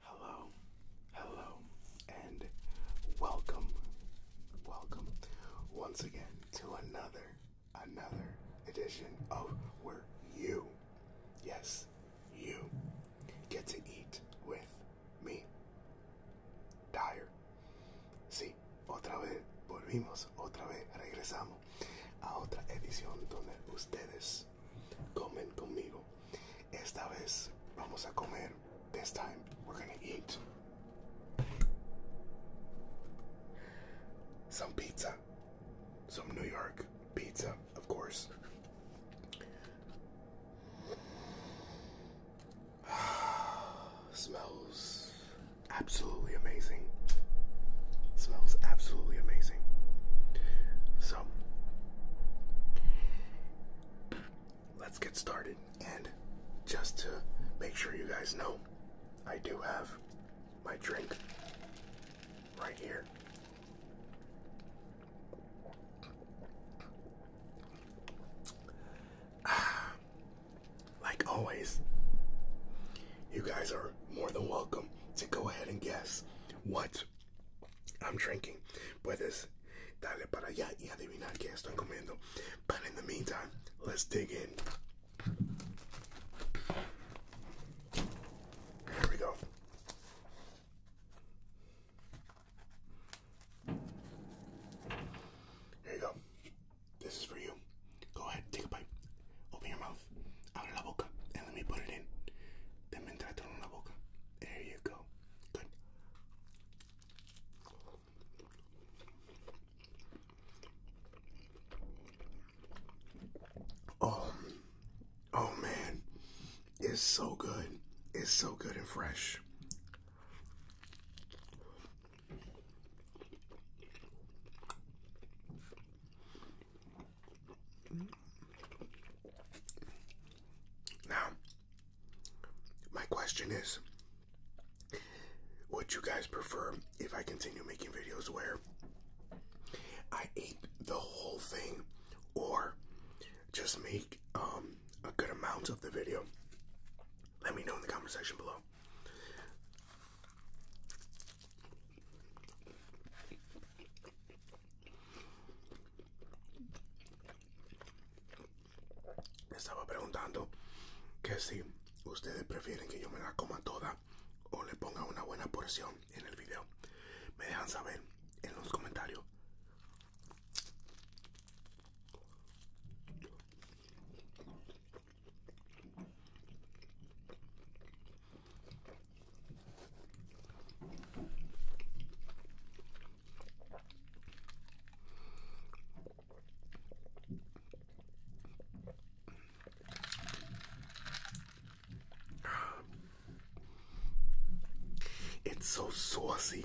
Hello, hello, and welcome, welcome once again to another, another edition of Where You, yes, you get to eat with me. Dire. Sí, otra vez volvimos, otra vez regresamos a otra edición donde ustedes vez comen conmigo. Esta This time we're gonna eat some pizza. Some New York pizza, of course. Smells absolutely amazing. Smells absolutely amazing. So let's get started. And just to make sure you guys know, I do have my drink right here. like always, you guys are more than welcome to go ahead and guess what I'm drinking. Puedes darle para allá y adivinar qué estoy comiendo. But in the meantime, let's dig in. Here we go. Here you go. This is for you. Go ahead, take a bite. Open your mouth. Abre la boca. And me put it in. Déjame entrar en la boca. There you go. Good. Oh, oh man, it's so good. It's so good and fresh. Now, my question is would you guys prefer if I continue making videos where I ate the whole thing or just make um, a good amount of the video? Let me know in the comment section below. estaba preguntando que si ustedes prefieren que yo me la coma toda o le ponga una buena porción en el video. Me dejan saber en los comentarios. It's so saucy.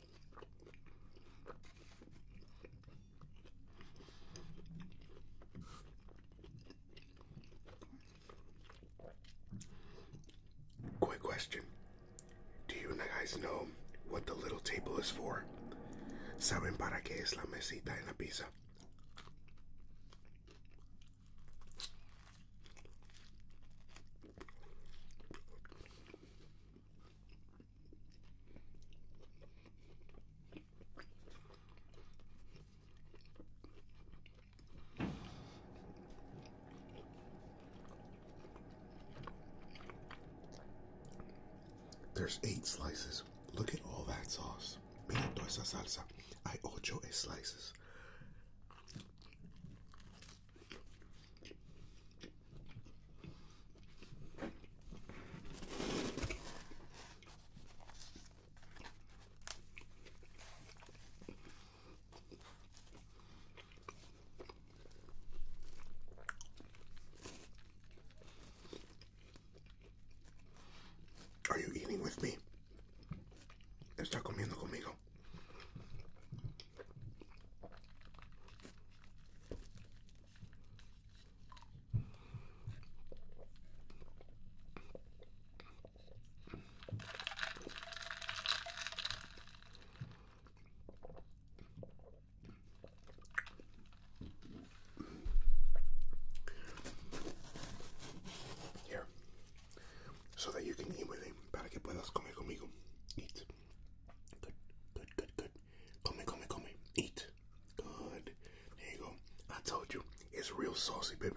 Quick question. Do you guys know what the little table is for? ¿Saben para qué es la mesita en la pizza? There's eight slices. Look at all that sauce. Mira toda esa salsa. Hay ocho slices. Are you eating with me? Está comiendo conmigo. Here, so that you can eat with him, para que puedas comer conmigo. Eat. Good, good, good, good. Come, here, come, here, come. here. Eat. Good. There you go. I told you. It's real saucy, baby.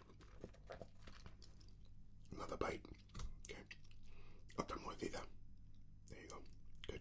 Another bite. Okay. Not done There you go. Good.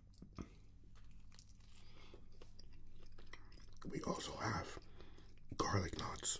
We also have garlic knots.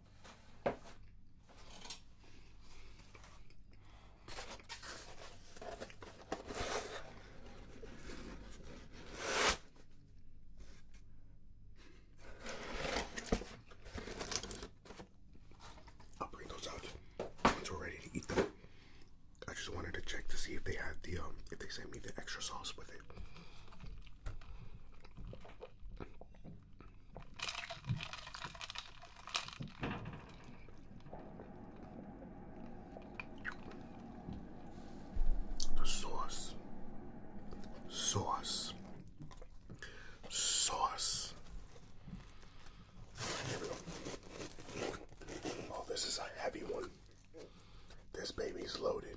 I'll bring those out once we're ready to eat them. I just wanted to check to see if they had the um, if they sent me the extra sauce with it. The sauce, sauce, sauce. Oh, this is a heavy one. This baby's loaded.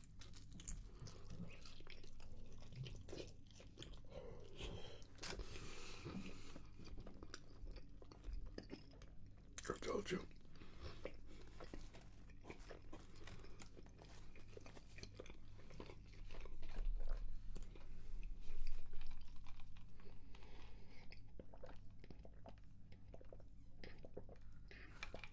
I told you.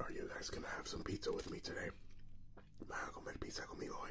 Are you guys gonna have some pizza with me today? Van a comer pizza conmigo hoy.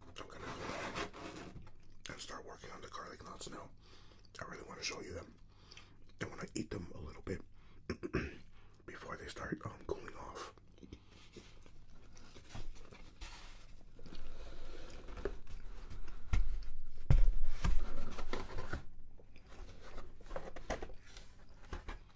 I'm gonna start working on the garlic knots now. I really want to show you them. I want to eat them a little bit before they start um, cooling off.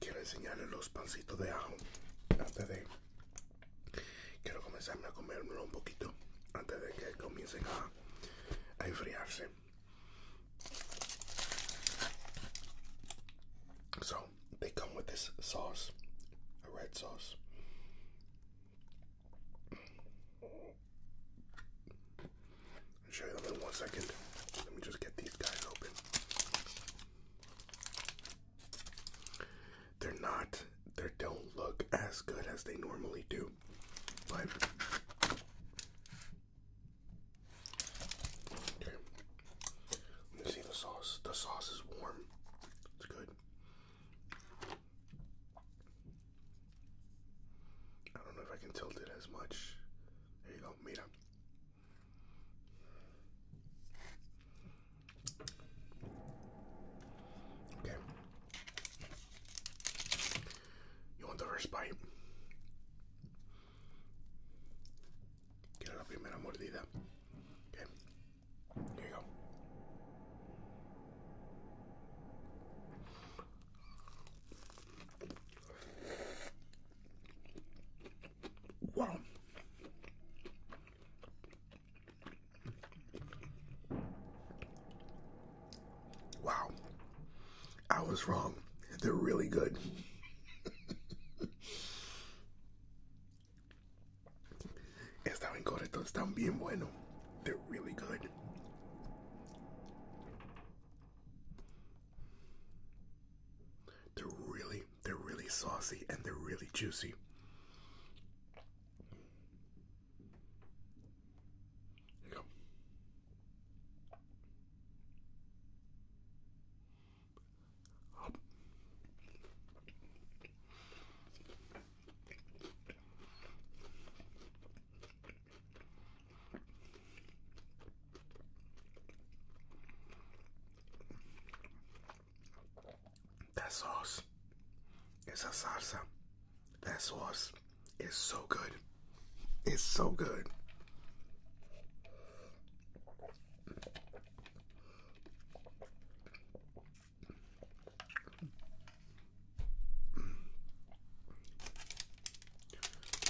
Quiero enseñar los pancitos de ajo antes de quiero comenzarme a comérmelo un poquito antes de que comiencen a, a enfriarse. So they come with this sauce, a red sauce. I'll show you them in one second. Let me just get these guys open. They're not, they don't look as good as they normally do, but. Okay. Let me see the sauce. The sauce is warm. It's good. I don't know if I can tilt it as much. There you go, mira. Okay. You want the first bite? Okay. There you go. Wow. Wow. I was wrong. They're really good. Está bien están bien buenos. They're really good. They're really, they're really saucy and they're really juicy. Yeah. That sauce is a salsa. That sauce is so good. It's so good.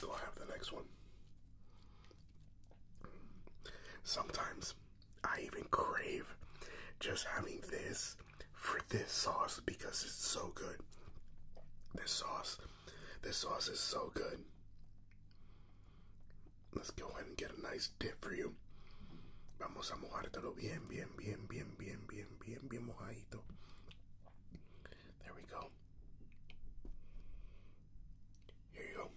So have the next one. Sometimes I even crave just having this for this sauce because it's so good. This sauce, this sauce is so good. Let's go ahead and get a nice dip for you. Vamos a mojártelo bien, bien, bien, bien, bien, bien, bien, bien mojadito. There we go. Here go.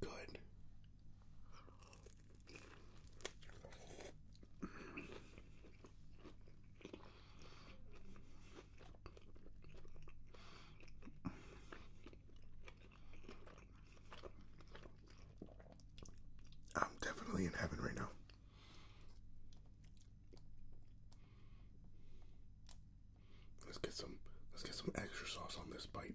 Good. I'm definitely in heaven right now. Let's get some let's get some extra sauce on this bite.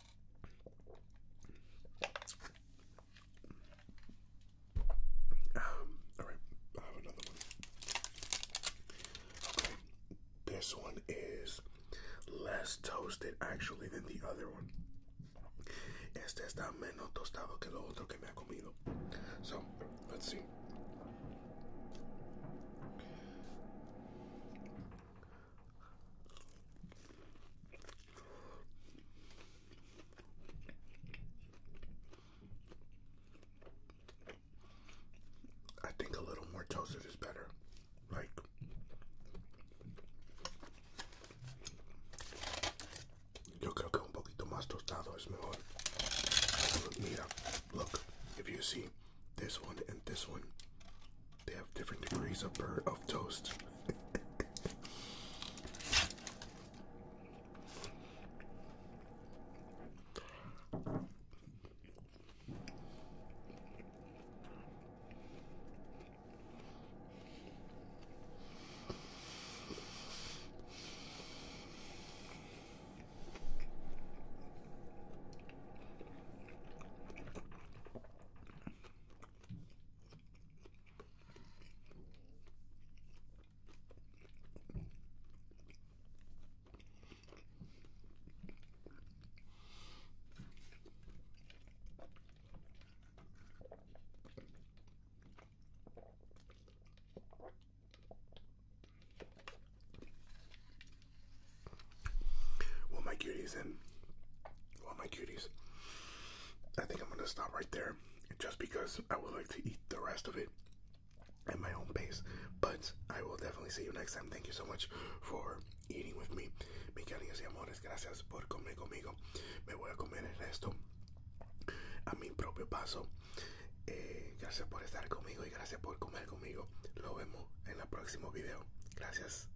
Alright, I have another one. Okay, this one is less toasted actually than the other one. Este está menos tostado que lo otro que me ha comido. So, let's see. I think a little more toasted is better. Like, yo creo que un poquito más tostado es mejor. Mira, look, if you see this one and this one, they have different degrees of of toast. Well, my cuties in. well, my cuties. I think I'm going to stop right there just because I would like to eat the rest of it at my own pace. But I will definitely see you next time. Thank you so much for eating with me. Mi cariños y amores, gracias por comer conmigo. Me voy a comer el a mi propio paso. Eh, gracias por estar conmigo y gracias por comer conmigo. Lo vemos en el próximo video. Gracias.